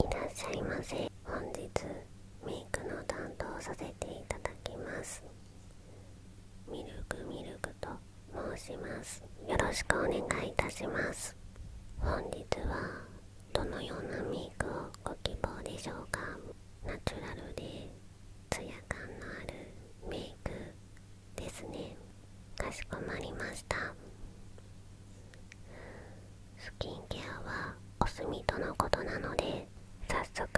いらっしゃいませ本日メイクの担当させていただきますミルクミルクと申しますよろしくお願いいたします本日はどのようなメイクをご希望でしょうかナチュラルでツヤ感のあるメイクですねかしこまりましたスキンケアはお墨とのことなので早速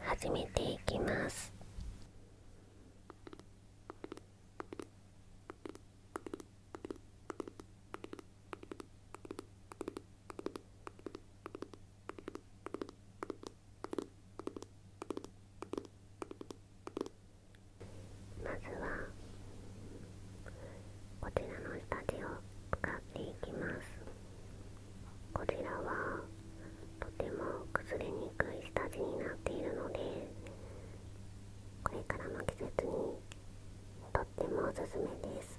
始めていきますまずはこちらの下地を使っていきますこちらはとても崩れにくい下地になっているのでこれからの季節にとってもおすすめです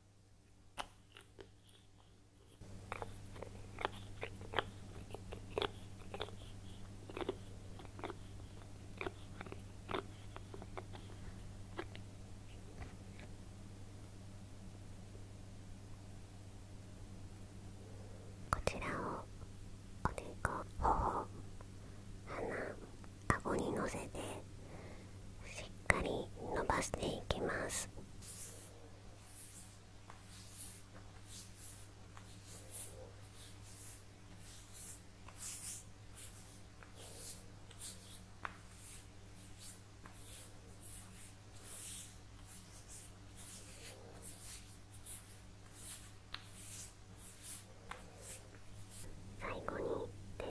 こちらをおでこ頬鼻顎にのせてしっかり伸ばしていきます。最後に手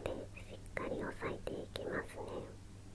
でしっかり押さえていきますね。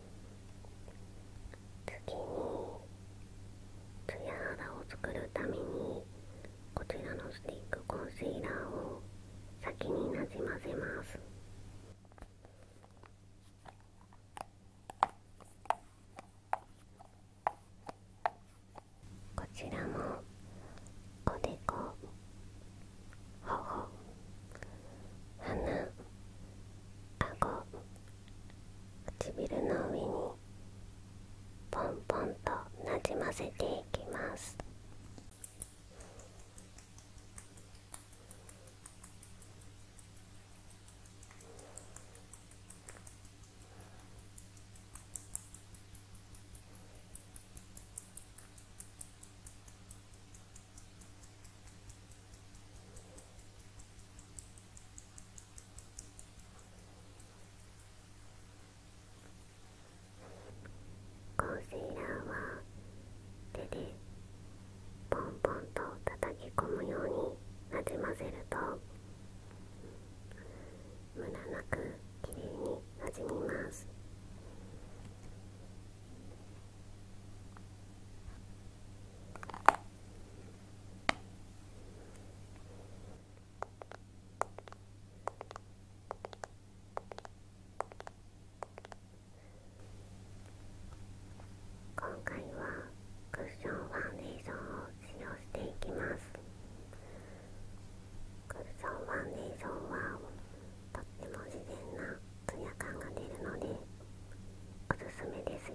次にツヤ肌を作るためにこちらのスティックコンシーラーを先になじませますこちらもおでこ頬鼻唇の上にポンポンとなじませていきますコンシーラーは手でポンポンと叩き込むようになじませると無駄なくきれいになじみます今回はクッションファンデーションを使用していきますクッションファンデーションはとっても自然なツヤ感が出るのでおすすめですよ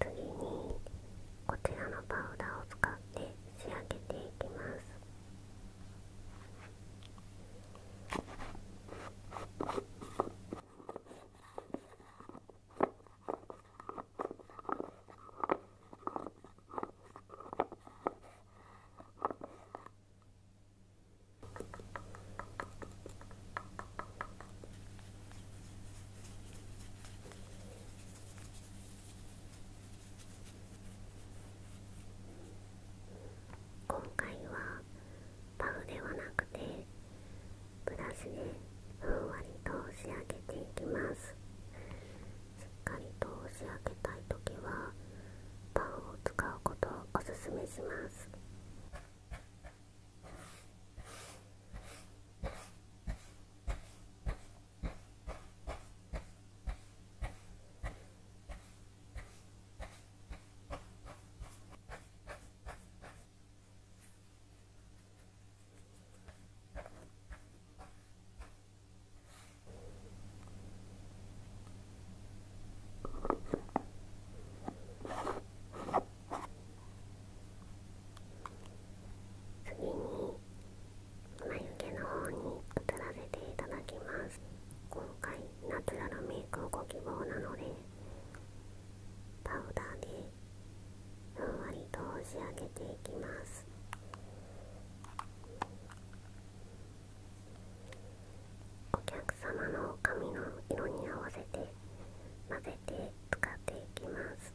次にこちらのパウダーを使って仕上げていきます今回はパフではなくてブラシでふんわりと仕上げていきますしっかりと仕上げたい時はパンを使うことをおすすめします次に眉毛の方に移らせていただきます今回ナチュラルメイクをご希望なのでパウダーでふんわりと仕上げていきますお客様の髪の色に合わせて混ぜて使っていきます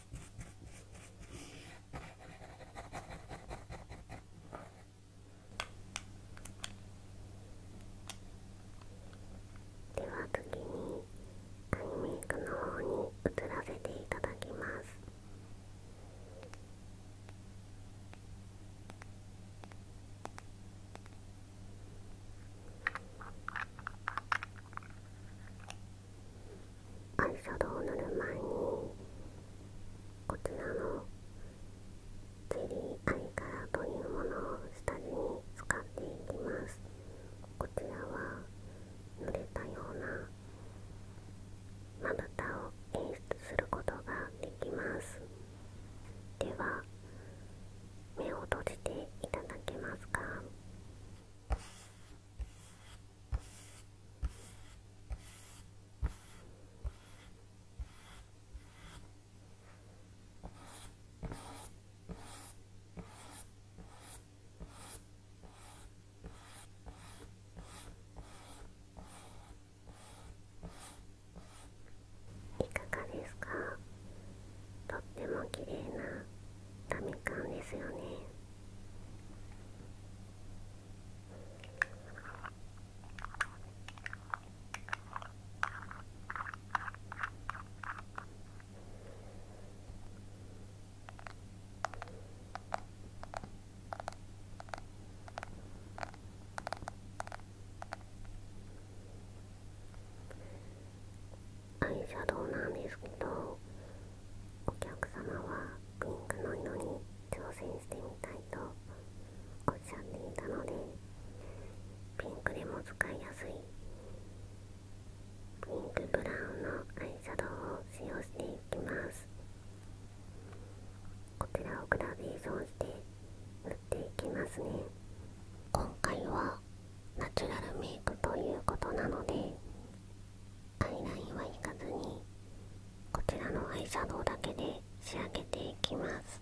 では次にアイメイクの方に移らせていただきますアイシャドウを塗る前にこちらのゼリーアイカラというものを下地に使っていきますこちらは濡れたようなまぶたを演出することができますでは目を閉じていただけますかいかがですかとっても綺麗なダメですよね。アイシャドウなんですけどお客様はピンクの色に挑戦してみたいとおっしゃっていたのでピンクでも使いやすいピンクブラウンのアイシャドウを使用していきますこちらをグラデーションして塗っていきますね今回はナチュラルメイクということなので買い食いは行かずにこちらのアイシャドウだけで仕上げていきます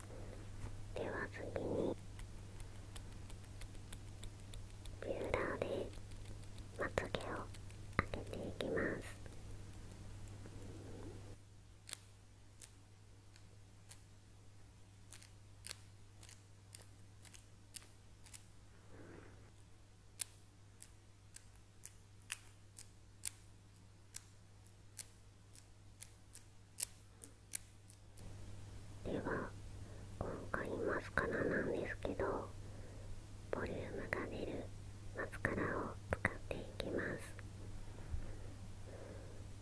では次にビューラーでまつげを上げていきますででは今回マスカラなんですけどボリュームが出るマスカラを使っていきます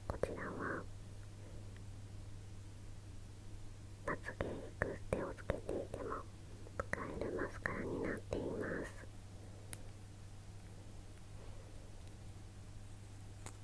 こちらはまつげにクっテをつけていても使えるマスカラになっています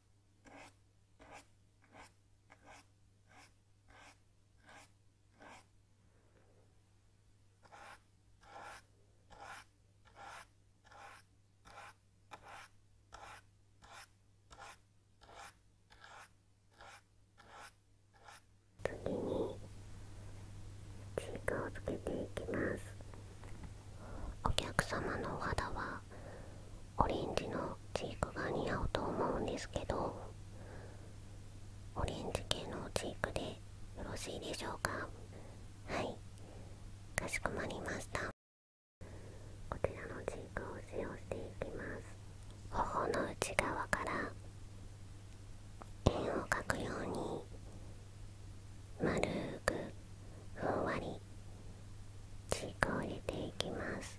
次にチークをつけていきますお客様のお肌はオレンジのチークが似合うと思うんですけどオレンジ系のチークでよろしいでしょうかはいかしこまりましたこちらのチークを使用していきます頬の内側から円を描くように丸くふんわりチークを入れていきます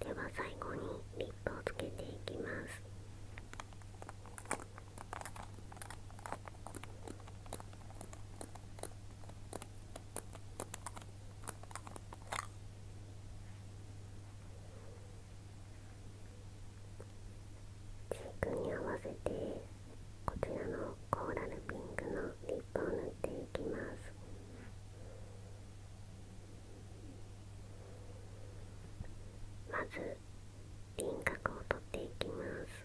では最後にリップをつけていきますチークに合わせてこちらのコーラルピンクのリップを塗っていきますまず輪郭を取っていきます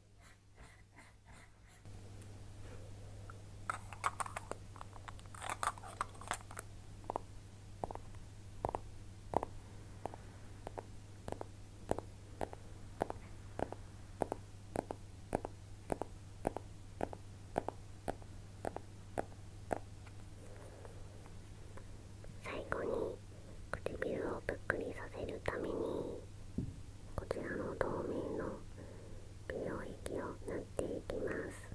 最後に唇をぷっくりさせるためにこちらの透明の美容液を塗っていきます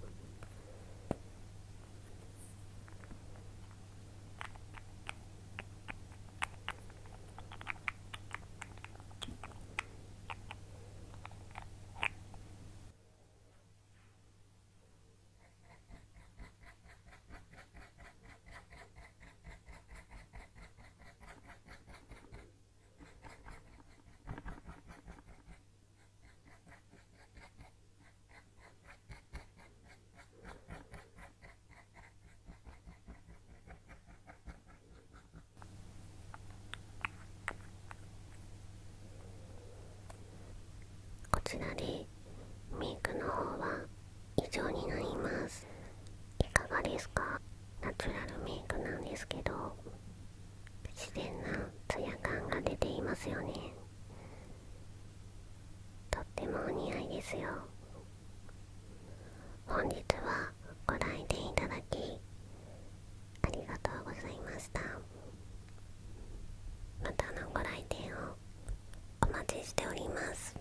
こちらでミイクの方は以上になりますいかがですかナチュラルメイクなんですけど自然なツヤ感が出ていますよねとってもお似合いですよ本日はご来店いただきありがとうございましたまたのご来店をお待ちしております